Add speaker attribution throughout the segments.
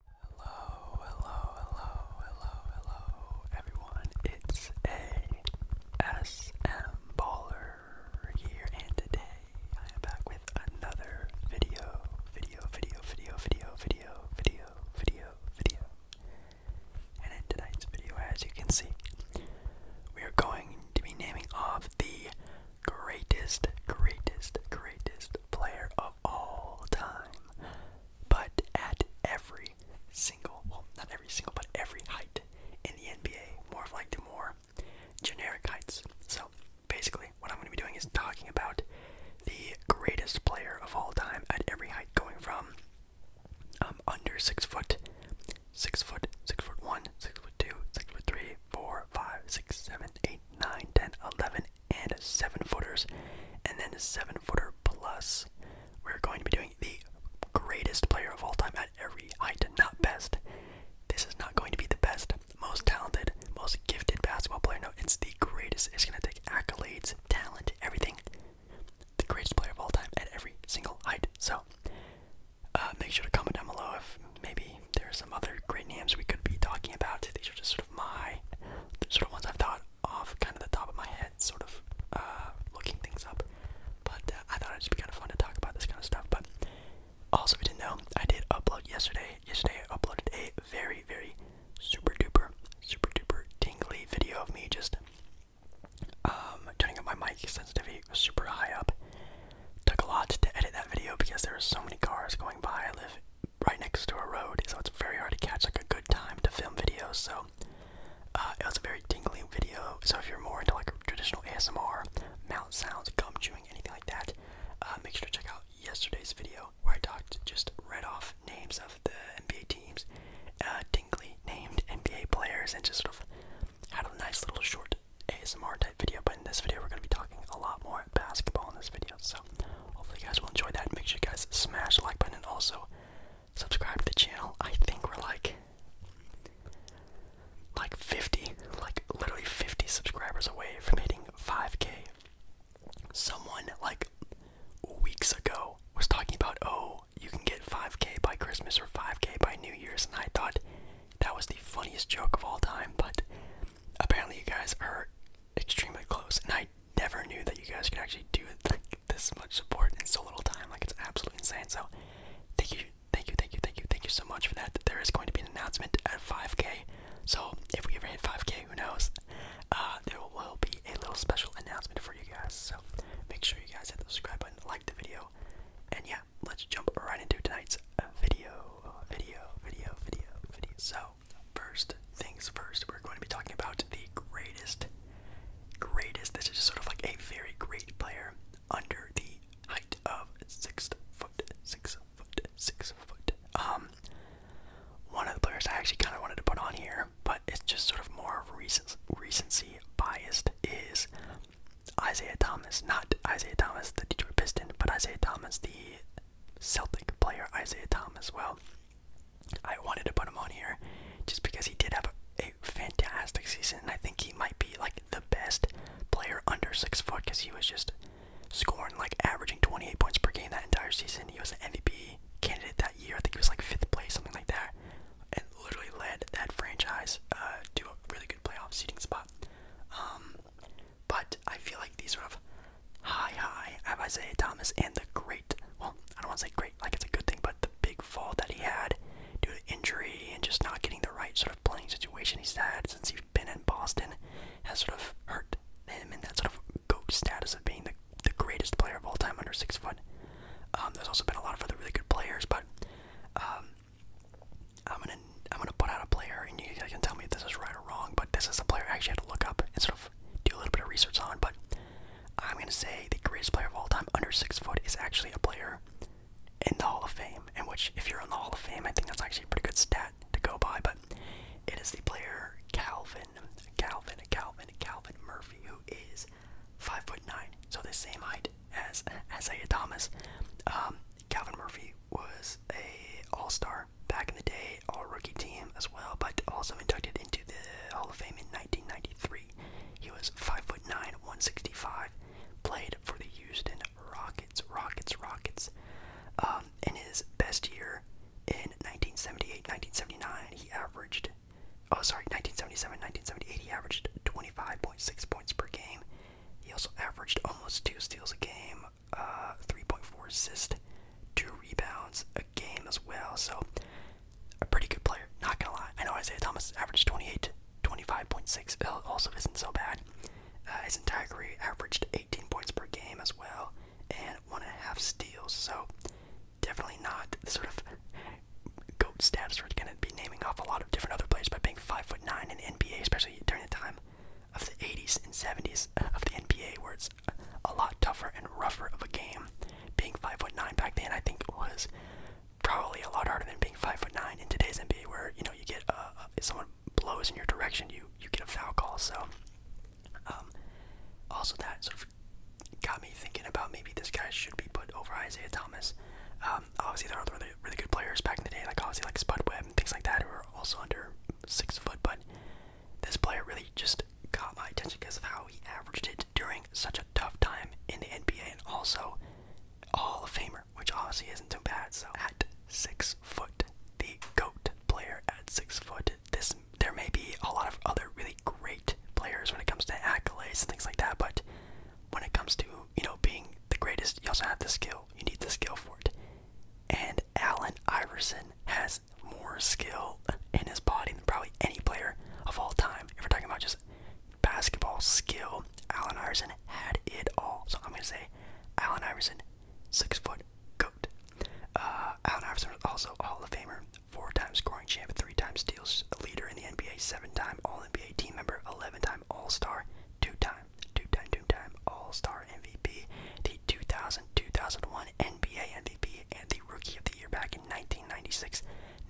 Speaker 1: Hello, hello, hello, hello, hello, everyone. It's ASM Baller here, and today I am back with another video, video, video, video, video, video, video, video, video. And in tonight's video, as you can see, we are going to be naming off the greatest, greatest, greatest player of all time. But at every single, well, not every single, but every height in the NBA, more of like the more generic heights. So basically, what I'm going to be doing is talking about the greatest player of all time at every height, going from um, under six foot, six foot, six foot one, six foot two, six foot three, four, five, six, seven, eight, nine, ten, eleven, and seven footers, and then seven footer plus. We're going to be doing the greatest player of all time at every height, not best. This is not going to be the best, most talented, most gifted basketball player. No, it's the greatest. It's going to take accolades, talent, everything. The greatest player of all time at every single height. So, uh, make sure to comment down below if maybe there are some other great names we could be talking about. These are just my sort of ones I've thought off kind of the top of my head, sort of uh, looking things up. But uh, I thought it'd just be kind of fun to talk about this kind of stuff. But also, if you didn't know, I did upload yesterday. Yesterday, I uploaded a very, very super duper, super duper tingly video of me just um, turning up my mic sensitivity was super high up. Took a lot to edit that video because there were so many cars going by. I live right next to a road, so it's very hard to catch like a good time to film videos. So uh, it was a very tingling video. So if you're more into like traditional ASMR, mouth sounds, gum chewing, anything like that, uh, make sure to check out yesterday's video where I talked just read off names of the NBA teams, uh, tingly named NBA players, and just sort of had a nice little short ASMR type video. But in this video, we're going to be talking a lot more basketball in this video. So hopefully you guys will enjoy that. Make sure you guys smash the like button and also subscribe to the channel. I think we're like like 50, like literally 50 subscribers away from hitting 5k. Someone like weeks ago was talking about oh you can get 5k by Christmas or 5k by New Year's and I thought that was the funniest joke of all time, but apparently you guys are extremely close, and I never knew that you guys could actually do like this much support in so little time. Like it's absolutely insane. So thank you, thank you, thank you, thank you, thank you so much for that. There is going to be an announcement at 5K. So if we ever hit 5K, who knows? Uh, there will be a little special announcement for you guys. So make sure you guys hit the subscribe button, like the video, and yeah, let's jump right into tonight's video, video, video, video, video. So first things first, we're going to be talking about the greatest, greatest. This is just sort of like a very great player under the height of six foot, six foot, six foot. Um, one of the players I actually kind of wanted to put on here, but it's just sort of more recent, recency biased is Isaiah Thomas, not Isaiah Thomas, the Detroit Piston, but Isaiah Thomas, the Celtic player Isaiah Thomas. Well, I wanted to put him on here just because he did have a, fantastic season, I think he might be like the best player under six foot because he was just scoring like averaging 28 points per game that entire season. He was an MVP candidate that year. I think he was like fifth place, something like that, and literally led that franchise uh, to a really good playoff seeding spot. Um, but I feel like these sort of high, high, I have Isaiah Thomas and the great, well, I don't want to say great, like it's a good thing, but the big fall that he had due to injury and just not getting the right sort of playing situation he's had since he's been in Boston has sort of hurt him and that sort of GOAT status of being the, the greatest player of all time under six foot. Um, there's also been a lot of other really good players, but um, I'm gonna I'm gonna put out a player, and you guys can tell me if this is right or wrong. But this is a player I actually had to look up and sort of do a little bit of research on. But I'm gonna say the greatest player of all time, under six foot, is actually a player in the Hall of Fame. And which, if you're in the Hall of Fame, I think that's actually a pretty good stat to go by. But it is the player Calvin, Calvin, Calvin, Calvin Murphy, who is five foot nine, so the same height as Isaiah Thomas. Um, Calvin Murphy was a All-Star back in the day, All-Rookie team as well, but also inducted into the Hall of Fame in 1993. He was 5'9", 165, played for the Houston Rockets, Rockets, Rockets. Um, in his best year in 1978-1979, he averaged, oh sorry, 1977-1978, he averaged 25.6 points per game. He also averaged almost two steals a game, uh, 3.4 assists, two rebounds a game as well. So a pretty good player. Not gonna lie. I know Isaiah Thomas averaged 28, 25.6. Also isn't so bad. Uh, his entire averaged 18 points per game as well, and one and a half steals. So definitely not the sort of goat status. We're gonna be naming off a lot of different other players by being five foot nine in the NBA, especially during the time of the 80s and 70s uh, of the NBA, where it's a lot tougher and rougher of a game. Being five foot nine back then, I think it was probably a lot harder than being five foot nine in today's NBA, where you know you get uh, if someone blows in your direction, you you get a foul call. So, um, also that sort of got me thinking about maybe this guy should be put over Isaiah Thomas. Um, obviously, there are other really, good players back in the day, like obviously like Spud Webb and things like that, who are also under six foot. But this player really just caught my attention because of how he averaged it during such a tough time in the NBA, and also Hall of Famer, which obviously isn't too bad. So at six foot, the goat player at six foot. This there may be a lot of other really great players when it comes to accolades and things like that, but when it comes to you know, being the greatest, you also have the skill. You need the skill for it. And Allen Iverson has more skill in his body than probably any player of all time. If we're talking about just basketball skill, Allen Iverson had it all. So I'm gonna say Allen Iverson, six foot goat. Uh, Allen Iverson was also Hall of Famer, four times scoring champ, three times steals leader in the NBA, seven time All NBA team member, eleven time All Star, two time two-time, two-time All-Star MVP, the 2000-2001 NBA MVP, and the Rookie of the Year back in 1996,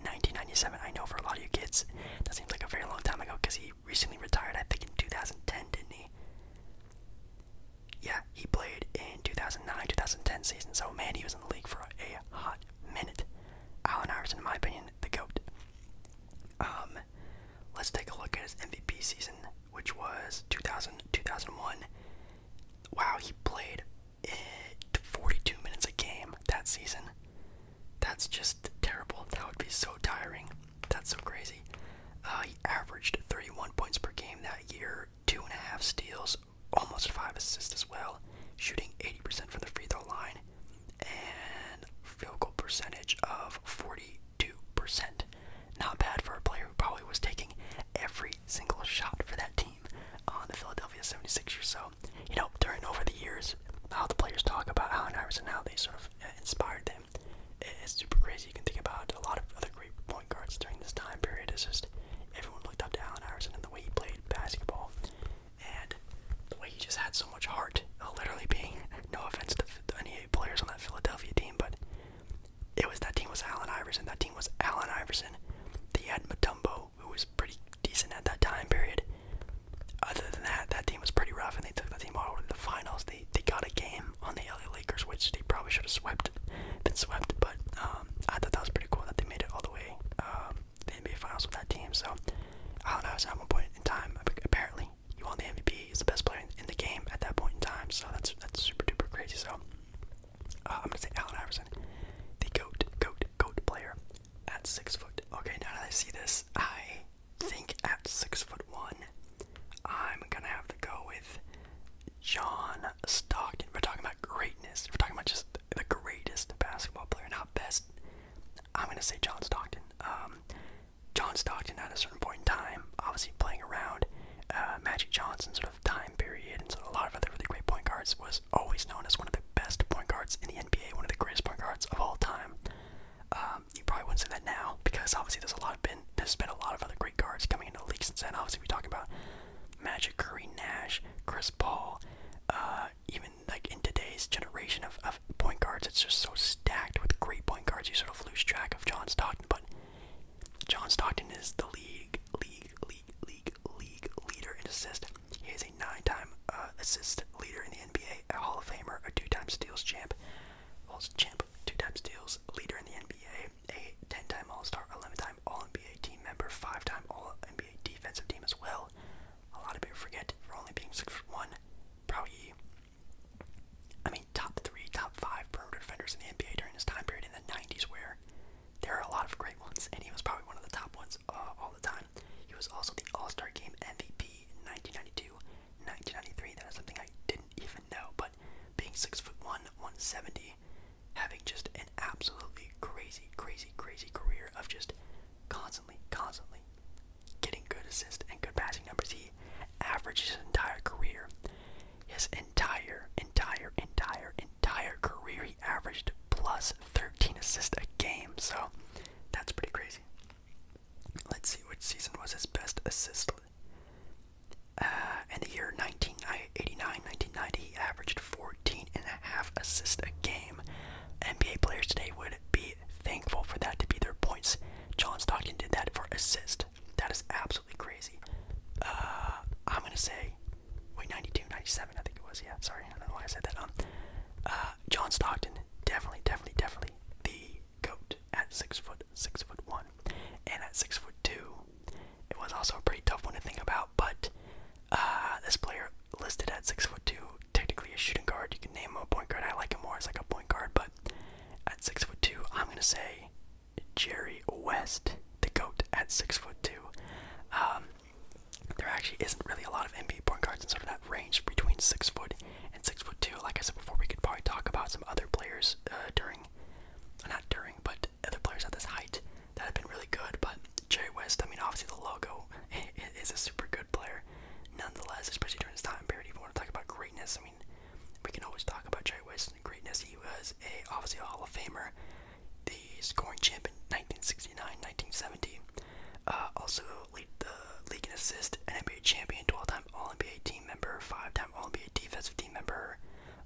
Speaker 1: 1997. I know for a lot of you kids, that seems like a very long time ago because he recently retired. I think in 2010, didn't he? Yeah, he played in 2009-2010 season. So man, he was in the league for a hot minute. Allen Iverson, in my opinion, the goat. Um, let's take a look at his MVP season, which was 2000 2001. Wow, he played 42 minutes a game that season. That's just terrible. That would be so tiring. That's so crazy. Uh, he averaged 31 points per game that year, two and a half steals, almost five assists as well, shooting 80% from the free throw line, and field goal percentage of 40 not bad for a player who probably was taking every single shot for that team on the Philadelphia 76ers. So, you know, during over the years, how the players talk about Allen Iverson, how they sort of uh, inspired them. It's super crazy. You can think about a lot of other great point guards during this time period. It's just everyone looked up to Allen Iverson and the way he played basketball and the way he just had so much heart. Uh, literally being no offense to, to any players on that Philadelphia team, but it was that team was Allen Iverson. That team was Allen Iverson. They had Matumbo, who was pretty decent at that time period. Other than that, that team was pretty rough, and they took that team all to the finals. They they got a game on the LA Lakers, which they probably should have swept, been swept. But um, I thought that was pretty cool that they made it all the way um, the NBA Finals with that team. So Allen Iverson at one point in time apparently you won the MVP. He's the best player in the game at that point in time. So that's that's super duper crazy. So uh, I'm gonna say Allen Iverson, the goat, goat, goat player at six foot. Okay, now that I see this, I think at six foot one, I'm gonna have to go with John Stockton. We're talking about greatness. We're talking about just the greatest basketball player, not best. I'm gonna say John Stockton. Um, John Stockton at a certain point in time, obviously playing around uh, Magic Johnson sort of time period and sort a lot of other really great point guards, was always known as one of the best point guards in the NBA, one of the greatest point guards of all time. Um, you probably wouldn't say that now because obviously there's a lot of been there's been a lot of other great guards coming into the league since then. Obviously we are talking about Magic, Curry, Nash, Chris Paul, uh, even in like in today's generation of, of point guards, it's just so stacked with great point guards. You sort of lose track of John Stockton, but John Stockton is the league, league, league, league, league leader in assist. He is a nine-time uh, assist leader in the NBA, a Hall of Famer, a two-time steals champ, also champ, two-time steals leader in the NBA, a ten-time All-Star, eleven-time All-NBA team member, five-time All-NBA defensive team as well. A lot of people forget for only being six one probably, I mean, top three, top five perimeter defenders in the NBA during his time period in the 90s, where there are a lot of great ones, and he was probably one of the top ones uh, all the time. He was also the All Star Game MVP in 1992, 1993. That is something I didn't even know, but being six foot one, 170, having just an absolutely crazy, crazy, crazy career of just constantly, constantly getting good assists and good passing numbers. He averaged his entire career. His entire, entire, entire, entire career, he averaged plus 13 assists a game. So that's pretty crazy. Let's see which season was his best assist. Uh, in the year 1989 1990, he averaged 14 and a half assists a game. NBA players today would be thankful for that to be their points. John Stockton did that for assist. That is absolutely crazy. Uh, I'm gonna say, wait, 92, 97, I think it was. Yeah, sorry, I don't know why I said that. Um, uh, John Stockton, definitely, definitely, definitely the goat at six foot, six foot one, and at six foot two, it was also a pretty tough one to think about. But uh, this player listed at six foot two, technically a shooting guard. You can name him a point guard. I like him more as like a point guard, but at six foot two, I'm gonna say Jerry West, the goat at six foot two. Um, there actually isn't really a lot of NBA point guards in sort of that range between six foot and six foot two. Like I said before, we could probably talk about some other players uh, during, not during, but other players at this height that have been really good. But Jerry West, I mean, obviously the logo is a super good player nonetheless, especially during this time period. If you want to talk about greatness, I mean, we can always talk about Jerry West's greatness. He was a obviously a Hall of Famer, the scoring champ in 1969, 1970. Uh, also lead the league in assist, NBA champion, all time All-NBA team member, five-time All-NBA defensive team member,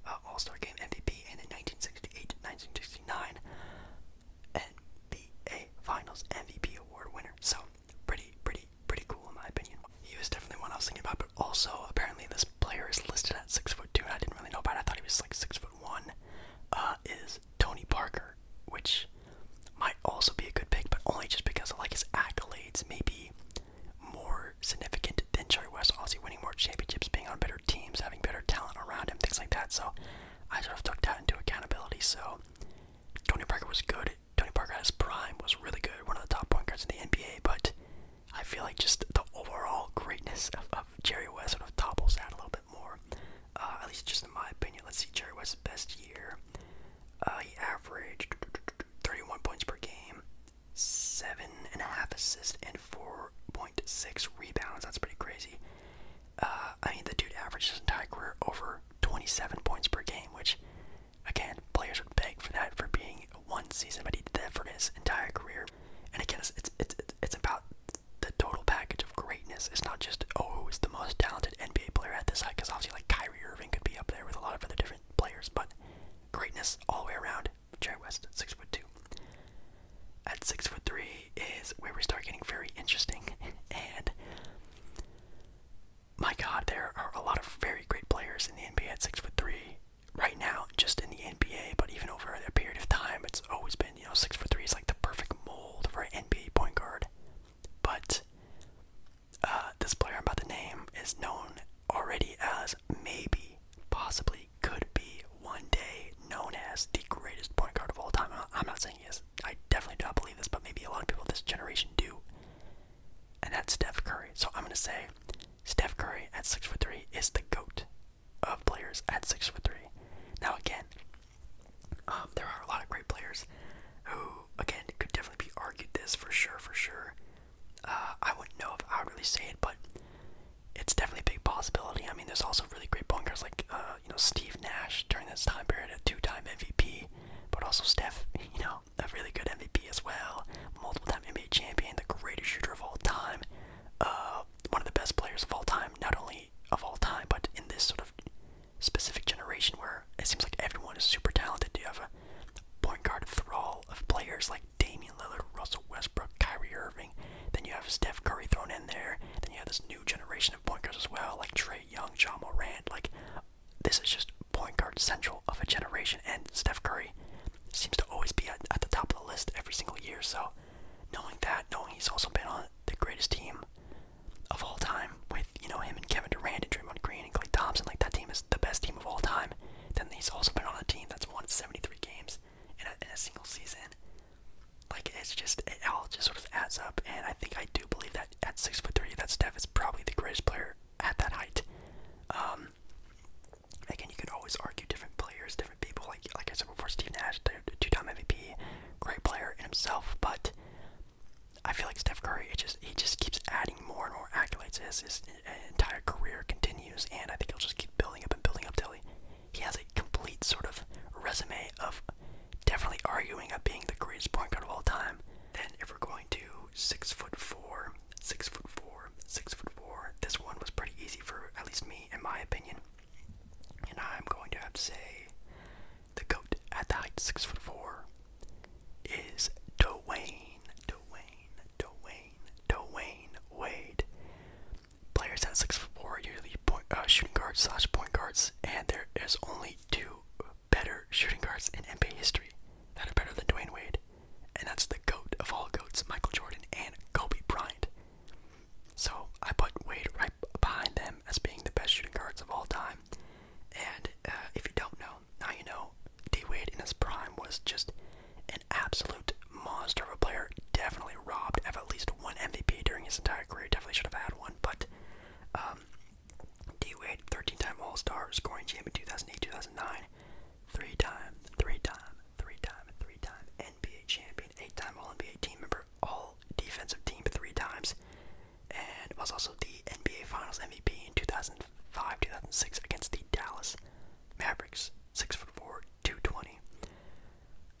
Speaker 1: uh, All-Star Game MVP, and in 1968, 1969, NBA Finals MVP award winner. So pretty, pretty, pretty cool in my opinion. He was definitely one I was thinking about, but also apparently this player is listed at six foot two. And I didn't really know about. it. I thought he was like six foot one. Uh, is Tony Parker, which might also be a good pick, but only just because of like his accolades, maybe more significant than Jerry West, obviously winning more championships, being on better teams, having better talent around him, things like that. So I sort of took that into accountability. So Tony Parker was good. Tony Parker at his prime was really good, one of the top point guards in the NBA. But I feel like just the overall greatness of, Jerry West sort of topples that a little bit more. Uh, at least just in my opinion. Let's see Jerry West's best year. Uh, he averaged 31 points per game, seven and a half assists, and 4.6 rebounds. That's pretty crazy. Uh, I mean, the dude averages his entire career over 27 points per game, which, again, players would beg for that for being one season, but he did that for his entire career. And again, it's it's it's, about the total package of greatness. It's not just oh, who's the most talented NBA player at this height, because obviously, like Kyrie Irving could be up there with a lot of other different players, but greatness all the way around. Jerry West, six foot two. At six foot three, is where we start getting very interesting. And my God, there are a lot of very great players in the NBA at six foot three right now, just in the NBA. But even over a period of time, it's always been you know six foot three is like the perfect mold for an NBA point guard. But uh, this player about the name is known already as maybe, possibly, could be one day known as the greatest point guard of all time. I'm not saying he is I definitely do not believe this, but maybe a lot of people of this generation do. And that's Steph Curry. So I'm gonna say Steph Curry at six foot three is the goat of players at six foot three. Now again, um, there are a lot of great players who again could definitely be argued this for sure, for sure. Uh, I wouldn't know if I would really say it, but it's definitely a big possibility. I mean, there's also really great bunkers like uh, you know Steve Nash during this time period, a two-time MVP, but also Steph, you know, a really good MVP as well, multiple-time NBA champion, the greatest shooter of all time, uh, one of the best players of all time, not only of all time, but in this sort of specific generation where it seems like everyone is super talented. You have a point guard thrall of players like Damian Lillard, Russell Westbrook, Kyrie Irving. Then you have Steph Curry thrown in there. Then you have this new generation point guards as well, like Trey Young, John Morant. Like, this is just point guard central of a generation, and Steph Curry seems to always be at, the top of the list every single year. So, knowing that, knowing he's also been on the greatest team of all time with, you know, him and Kevin Durant and Draymond Green and Clay Thompson, like, that team is the best team of all time. Then he's also been on a team that's won 73 games in a single season. Like it's just it all just sort of adds up, and I think I do believe that at six foot three, that Steph is probably the greatest player at that height. Um, again, you could always argue different players, different people. Like like I said before, Steve Nash, two-time MVP, great player in himself, but I feel like Steph Curry, it just he just keeps adding more and more accolades as his entire career continues, and I think he'll just keep building up and building up till he he has a complete sort of resume of definitely arguing at being the greatest point guard of all time. Then if we're going to six foot four, six foot four, six foot four, this one was pretty easy for at least me in my opinion. And I'm going to have to say the goat at the height six foot four is Dwayne, Dwayne, Dwayne, Dwayne Wade players at six foot four usually point, uh, shooting guards slash point guards, and there is only two better shooting guards in NBA history that are better than Dwayne Wade, and that's the goat of all goats, Michael Jordan and Kobe Bryant. So I put Wade right behind them as being the best shooting guards of all time. And uh, if you don't know, now you know. D Wade in his prime was just an absolute monster of a player. Definitely robbed of at least one MVP during his entire career. Definitely should have had one, but um, D Wade, 13-time All-Star, scoring champ in 2008-2009, three-time, three-time, three-time, three-time NBA champion, eight-time All-NBA team member, All-Defensive team three times, and was also the NBA Finals MVP in 2005-2006 against the Dallas Mavericks. Six foot four, 220.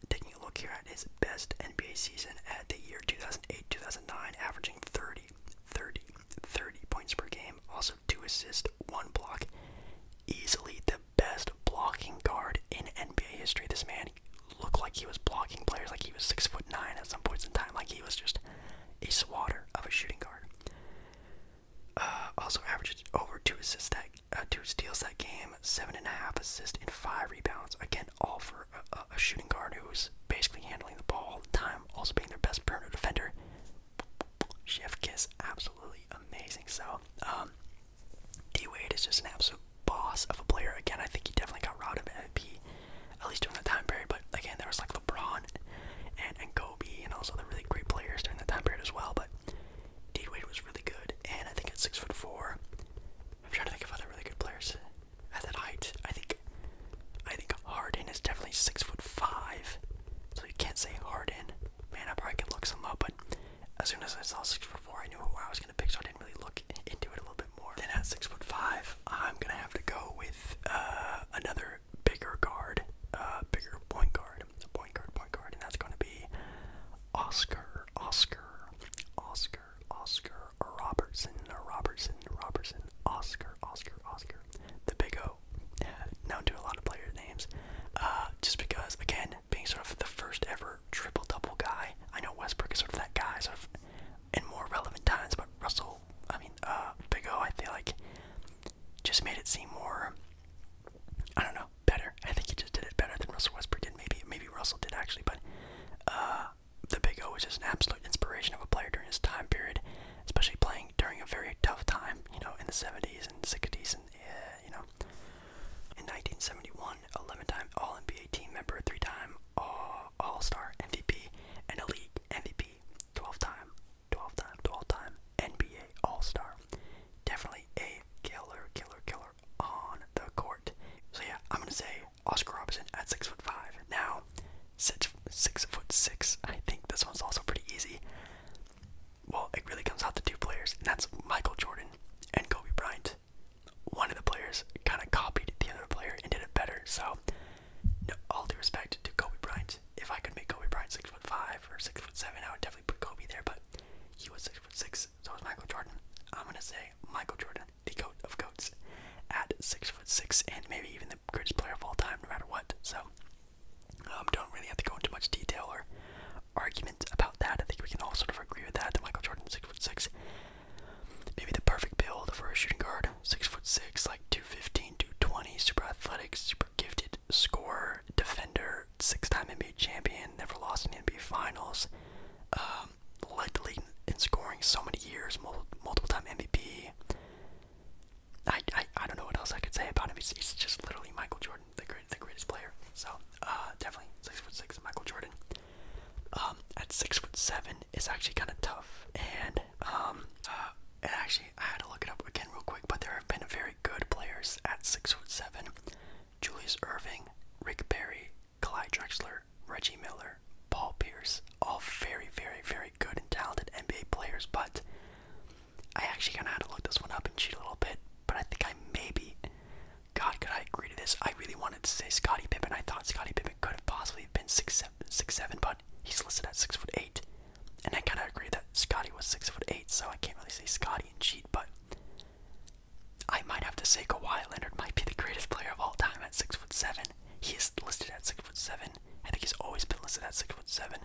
Speaker 1: Taking a look here at his best NBA season at the year 2008 2009, averaging 30, points per game, also two assists, one block. Easily the best blocking guard in NBA history. This man looked like he was blocking players, like he was six foot nine at some points in time, like he was just a swatter of a shooting guard. Uh, also averages over two assists that uh, dude steals that game, seven and a half assists, and five rebounds. Again, all for a, shooting guard who's basically handling the ball all the time, also being their best perimeter defender. Chef Kiss, absolutely amazing. So, um, D Wade is just an absolute boss of a player. Again, I think he definitely got robbed of MVP, at least during the time period. But again, there was like LeBron and, and Kobe, and also the really great players during the time period as well. But D was really good, and I think at six foot four, I'm trying to think of other really good players at that height. I think, I think Harden is definitely six foot five, so you can't say Harden. Man, I probably could look some up, but as soon as I saw six foot four, I knew who I was gonna pick, so I didn't really look into it a little bit more. Then at six foot five, I'm gonna have to go with uh, another bigger guard, uh, bigger point guard, point guard, point guard, and that's gonna be Oscar Oscar, Oscar, Oscar, Robertson, Robertson, Robertson, Oscar, Oscar, Oscar. The Big O, known to a lot of player names, uh, just because, again, being sort of the first ever triple double guy. I know Westbrook is sort of that guy, sort of in more relevant times, but Russell, I mean, uh, Big O, I feel like just made it seem more, I don't know, better. I think he just did it better than Russell Westbrook did. Maybe maybe Russell did actually, but uh, the Big O was just an absolute inspiration of a player during his time period, especially playing during a very tough time. You know, in the '70s and '60s, and uh, you know, in 1971, time All-NBA team member, three-time All-Star -All MVP, and a league MVP, 12-time, 12-time, 12-time NBA All-Star. Definitely a killer, killer, killer on the court. So yeah, I'm gonna say Oscar Robertson at six foot five. Now, six six foot six. I think this one's also pretty easy. Well, it really comes out to two players, and that's Michael Jordan and Kobe Bryant. One of the players kind of copied the other player and did it better. So, all due respect to Kobe Bryant. If I could make Kobe Bryant six foot five or six foot seven, I would definitely put Kobe there. But he was six foot six, six, so was Michael Jordan. I'm gonna say Michael Jordan, the goat of goats, at six foot six, and maybe even the greatest player of all time, no matter what. So, um, don't really have to go into much detail or argument about that. I think we can all sort of agree with that. That Michael Jordan, six foot six, maybe the perfect build for a shooting guard, six foot six, like 215, 220, super athletic, super gifted scorer, defender, six-time NBA champion, never lost in the NBA Finals, um, led the league in scoring so many years, mul multiple-time MVP. I, I I don't know what else I could say about him. He's, just literally Michael Jordan, the great, the greatest player. So uh, definitely six foot six, Michael Jordan. Um, at six foot seven is actually kind of tough, and um, uh, and actually I had to look it up again real quick. But there have been very good players at six foot seven. Julius Irving, Rick Barry, Clyde Drexler, Reggie Miller, Paul Pierce, all very, very, very good and talented NBA players, but I actually kind of had to look this one up and cheat a little bit, but I think I maybe, God, could I agree to this? I really wanted to say Scottie Pippen. I thought Scottie Pippen could have possibly been 6'7", six, seven, six, seven, but he's listed at 6'8", and I kind of agree that Scottie was 6'8", so I can't really say Scottie and cheat, but I might have to say Kawhi Leonard might be the greatest player of all time at six foot seven. He is listed at six foot seven. I think he's always been listed at six foot seven.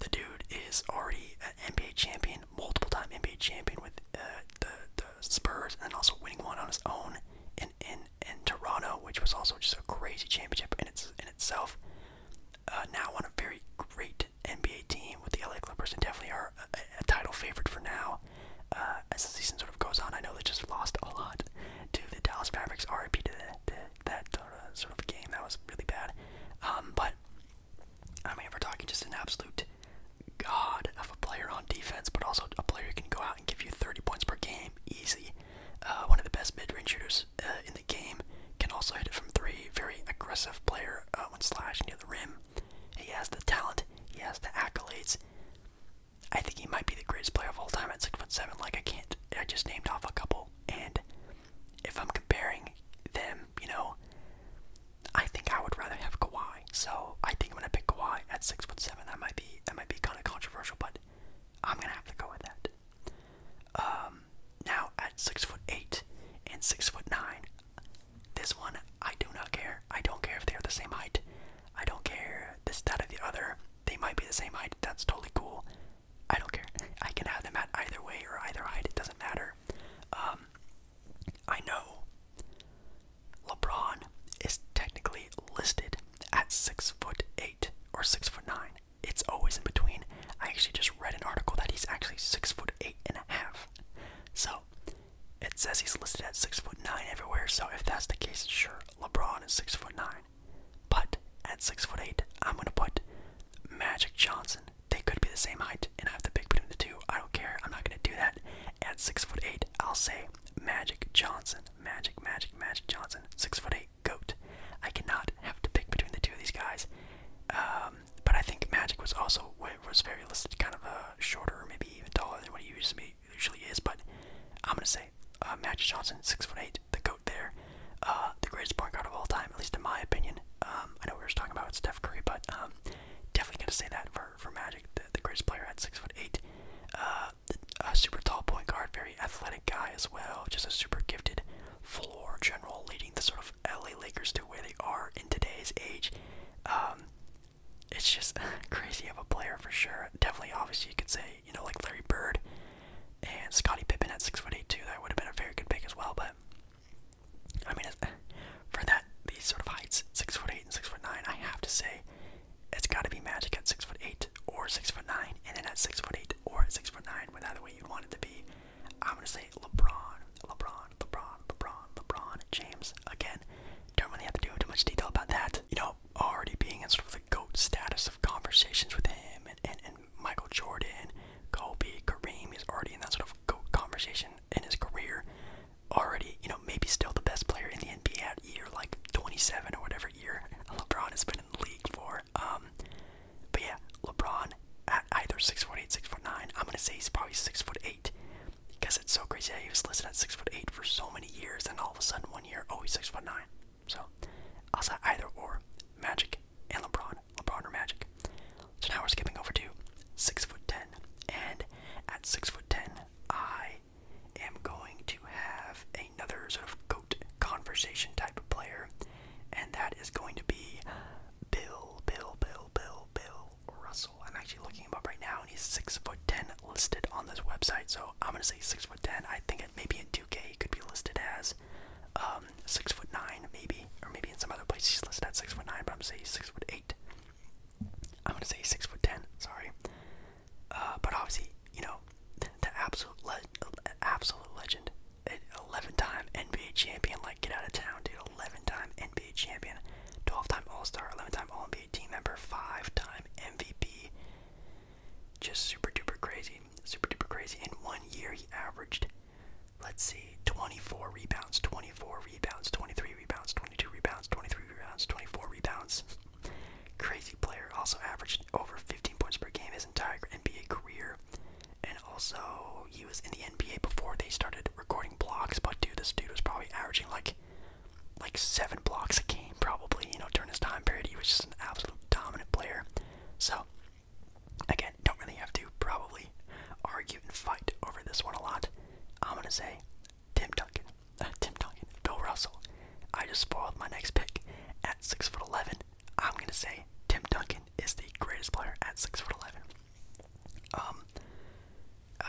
Speaker 1: The dude is already an NBA champion, multiple time NBA champion with uh, the the Spurs, and also winning one on his own in in in Toronto, which was also just a crazy championship in itself. Uh, now on a very great ranked NBA team with the LA Clippers and definitely are a, title favorite for now. Uh, as the season sort of goes on, I know they just lost a lot to the Dallas Mavericks. RIP to, that uh, sort of game. That was really bad. Um, but I mean, we're talking just an absolute god of a player on defense, but also a player who can go out and give you 30 points per game easy. Uh, one of the best mid-range shooters in the game can also hit it from three. Very aggressive player, score uh, when slashed near the rim. He has the talent. He has the accolades. I think he might be the greatest player of all time at six foot seven. Like I can't. I just named off a couple, and if I'm comparing them, you know, I think I would rather have Kawhi. So I think I'm gonna pick Kawhi at six foot seven. That might be that might be kind of controversial, but I'm gonna have to go with that. Uh, um, now at six foot eight and six foot nine, this one I do not care. I don't care if they are the same height. I don't care this, that, or the other. They might be the same height. That's totally cool. I don't care. I can have them at either way or either height. It doesn't matter. Um, I know LeBron is technically listed at six foot eight or six foot nine. It's always in between. I actually just read an article that he's actually six foot eight and a half. So it says he's listed at six foot nine everywhere. So if that's the case, sure, LeBron is six foot nine. But at six foot eight, I'm gonna put Magic Johnson. They could be the same height, and I have to pick between the two. I don't care. I'm not gonna do that. At six foot eight, I'll say Magic Johnson. Magic, Magic, Magic Johnson. Six foot eight goat. I cannot have to pick between the two of these guys. Uh, um, but I think Magic was also was very listed, kind of a uh, shorter, maybe even taller than what he usually usually is. But I'm gonna say uh, Magic Johnson, six foot eight, the goat there, uh, the greatest point guard of all time, at least in my opinion. Um, I know we were just talking about Steph Curry, but um, definitely gonna say that for for Magic, the, greatest player at six foot eight. a super tall point guard, very athletic guy as well, just a super gifted floor general, leading the sort of LA Lakers to where they are in today's age. Um, it's just crazy of a player for sure. Definitely, obviously, you could say, you know, like Larry Bird and Scottie Pippen at 6'8", too. That would have been a very good pick as well, but I mean, for that, these sort of heights, 6'8", and 6'9", I have to say, it's got to be Magic at 6'8", or 6'9", and then at 6'8", or at 6'9", whatever way you want it to be. I'm gonna say LeBron, LeBron, LeBron, LeBron, LeBron James. Again, don't really have to do too much detail about that. You know, already being in sort of the GOAT status of conversations with him and, and, and Michael Jordan, Kobe, Kareem is already in that sort of GOAT conversation in his career. Already, you know, maybe still the best player in the NBA at year like 27 or whatever year LeBron has been in the league for. Um, but yeah, LeBron at either six foot eight, six foot nine. I'm gonna say he's probably six foot eight because it's so crazy he was listed at six foot eight for so many years, and all of a sudden one year, oh, he's six foot nine. So I'll say either or, Magic and LeBron, LeBron or Magic. So now we're skipping over to six foot ten, and at six foot ten, I am going to have another sort of goat conversation type of player, and that is going to be Bill, Bill, Bill, Bill, Bill Russell. I'm actually looking him up right now, and he's six foot ten listed on this website. So I'm gonna say six foot ten. I think it maybe in 2K he could be listed as um, six foot nine, maybe, or maybe in some other place he's listed at six foot nine, but I'm saying six foot eight. I'm gonna say six foot ten. Sorry, uh, but obviously, you know, the, absolute, absolute legend, 11-time NBA champion. Like, get out of town, dude. 11-time NBA champion, 12-time All-Star, 11-time All-NBA team member, 5-time MVP. Just super duper crazy, super duper crazy. In one year, he averaged, let's see, 24 rebounds, 24 rebounds, 23 rebounds, 22 rebounds, 23 rebounds, 24 rebounds. Crazy player. Also averaged over 15 points per game his entire NBA career and also he was in the NBA before they started recording blocks. But dude, this dude was probably averaging like like seven blocks a game, probably. You know, during his time period, he was just an absolute dominant player. So again, don't really have to probably argue and fight over this one a lot. I'm gonna say Tim Duncan, Tim Duncan, Bill Russell. I just spoiled my next pick at six foot eleven. I'm gonna say Tim Duncan is the greatest player at six foot eleven. Um,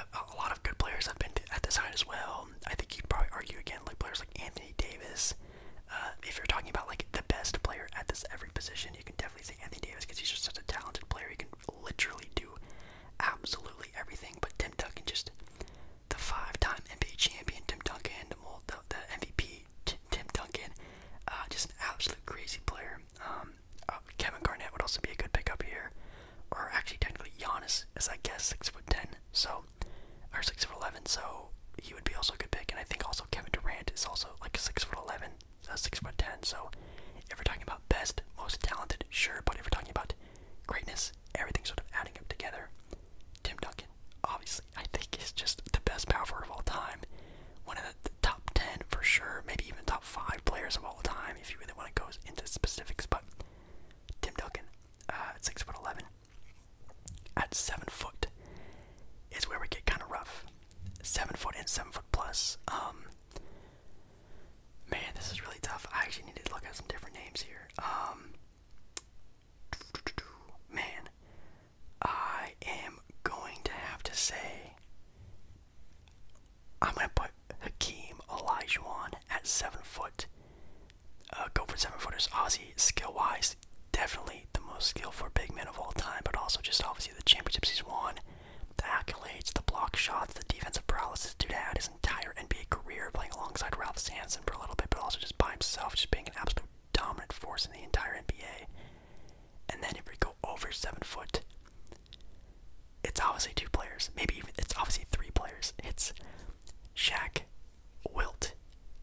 Speaker 1: a, lot of good players have been at this height as well. I think you'd probably argue again, like players like Anthony Davis. Uh, if you're talking about like the best player at this every position, you can definitely say Anthony Davis because he's just such a talented player. He can literally do absolutely everything. But Tim Duncan, just the five-time NBA champion, Tim Duncan, the, the MVP, Tim Duncan, uh, just an absolute crazy player. Um, uh, Kevin Garnett would also be a good pickup here, or actually technically Giannis is I guess six foot ten, so or six foot eleven, so he would be also a good pick. And I think also Kevin Durant is also like six foot eleven, uh, foot ten. So if we're talking about best, most talented, sure, but if we're talking about greatness, everything's sort of adding up together. Tim Duncan, obviously. I think, is just the best power forward of all time. One of the top 10 for sure, maybe even top 5 players of all time if you really want to go into specifics. But Tim Duncan uh, at 6'11, at 7 foot is where we get kind of rough. 7 foot and 7 foot plus. Um, man, this is really tough. I actually need to look at some different names here. Um, Man, I am going to have to say I'm gonna put Hakeem Olajuwon at seven foot. Uh, go for seven footers. Obviously, skill wise, definitely the most skillful big man of all time, but also just obviously the championships he's won, the accolades, the block shots, the defensive prowess this dude had his entire NBA career playing alongside Ralph Sampson for a little bit, but also just by himself, just being an absolute dominant force in the entire NBA. And then if we go over seven foot, it's obviously two players. Maybe even it's obviously three players. It's Shaq, Wilt,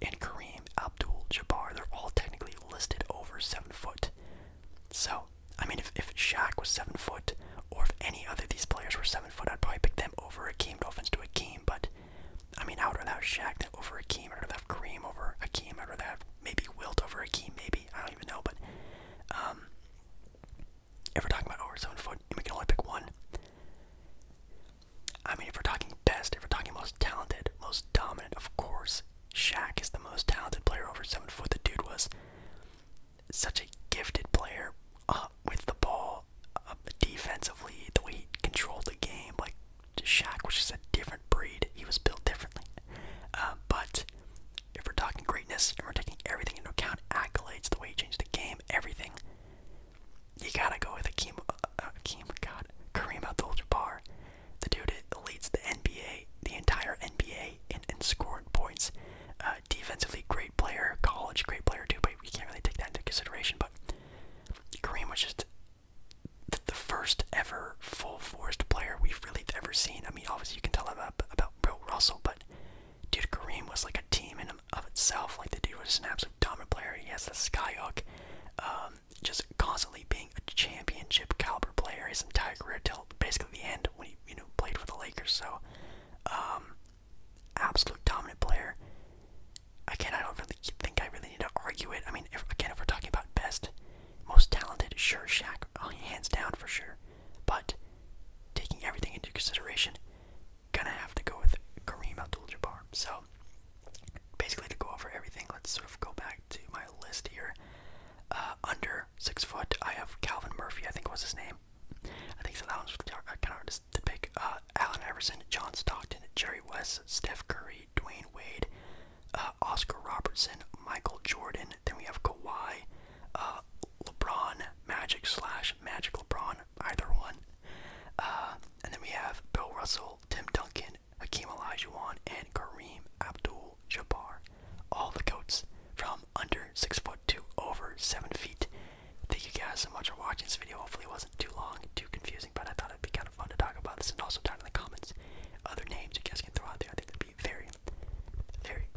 Speaker 1: and Kareem Abdul-Jabbar. They're all technically listed over seven foot. So, I mean, if if Shaq was seven foot, or if any other these players were seven foot, I'd probably pick them over a game Dolphins to a game but I mean, I would rather have Shaq than over Akeem. I'd rather have Kareem over a Keem. I'd rather have maybe Wilt over a Keem. Maybe I don't even know. But um, if we're talking about over seven foot, we can only pick one. I mean, if we're talking best, if we're talking most talented, most dominant, of course, Shaq is the most talented player over seven foot. The dude was such a gifted player uh, with the ball, uh, defensively, the way he controlled the game, like to Shaq, which is a different breed. He was built differently. Uh, but if we're talking greatness and we're taking everything into account, accolades, the way he changed the game, everything, you gotta go with Akeem, uh, Akeem God, Kareem Abdul-Jabbar. The dude that leads the NBA, the entire NBA, in, in scoring points. Uh, defensively, great player. College, great player too. But we can't really take that into consideration. But Kareem was just the first ever full forced player we've really ever seen. I mean, obviously you can tell about about Bill Russell, but dude, Kareem was like a team in of itself. Like the dude was an absolute dominant player. He has the skyhook, um, just constantly being a championship caliber player his entire career till basically the end when he you know played for the Lakers. So, um, absolute dominant player again, I don't really think I really need to argue it. I mean, if, again, if we're talking about best, most talented, sure, Shaq, uh, hands down for sure. But taking everything into consideration, gonna have to go with Kareem Abdul-Jabbar. So basically, to go over everything, let's sort of go back to my list here. Uh, under six foot, I have Calvin Murphy. I think was his name. I think it's so. That I kind of hard to pick. Uh, Allen Iverson, John Stockton, Jerry West, Steph Curry. Dwayne Wade, uh, Oscar Robertson, Michael Jordan. Then we have Kawhi, uh, LeBron, Magic slash Magic LeBron, either one. Uh, and then we have Bill Russell, Tim Duncan, Hakeem Olajuwon, and Kareem Abdul-Jabbar. All the goats from under six foot to over seven feet. Thank you guys so much for watching this video. Hopefully, it wasn't too long, too confusing, but I thought. It'd be kind of fun to talk about this, and also down in the comments, other names you guys can throw out there. I think that'd be very, very,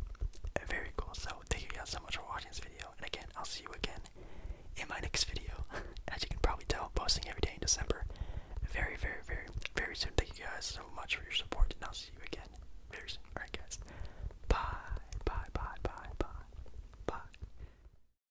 Speaker 1: very cool. So thank you guys so much for watching this video, and again, I'll see you again in my next video. As you can probably tell, posting every day in December. Very, very, very, very soon. Thank you guys so much for your support, and I'll see you again very soon. All right, guys. Bye, bye, bye, bye, bye, bye.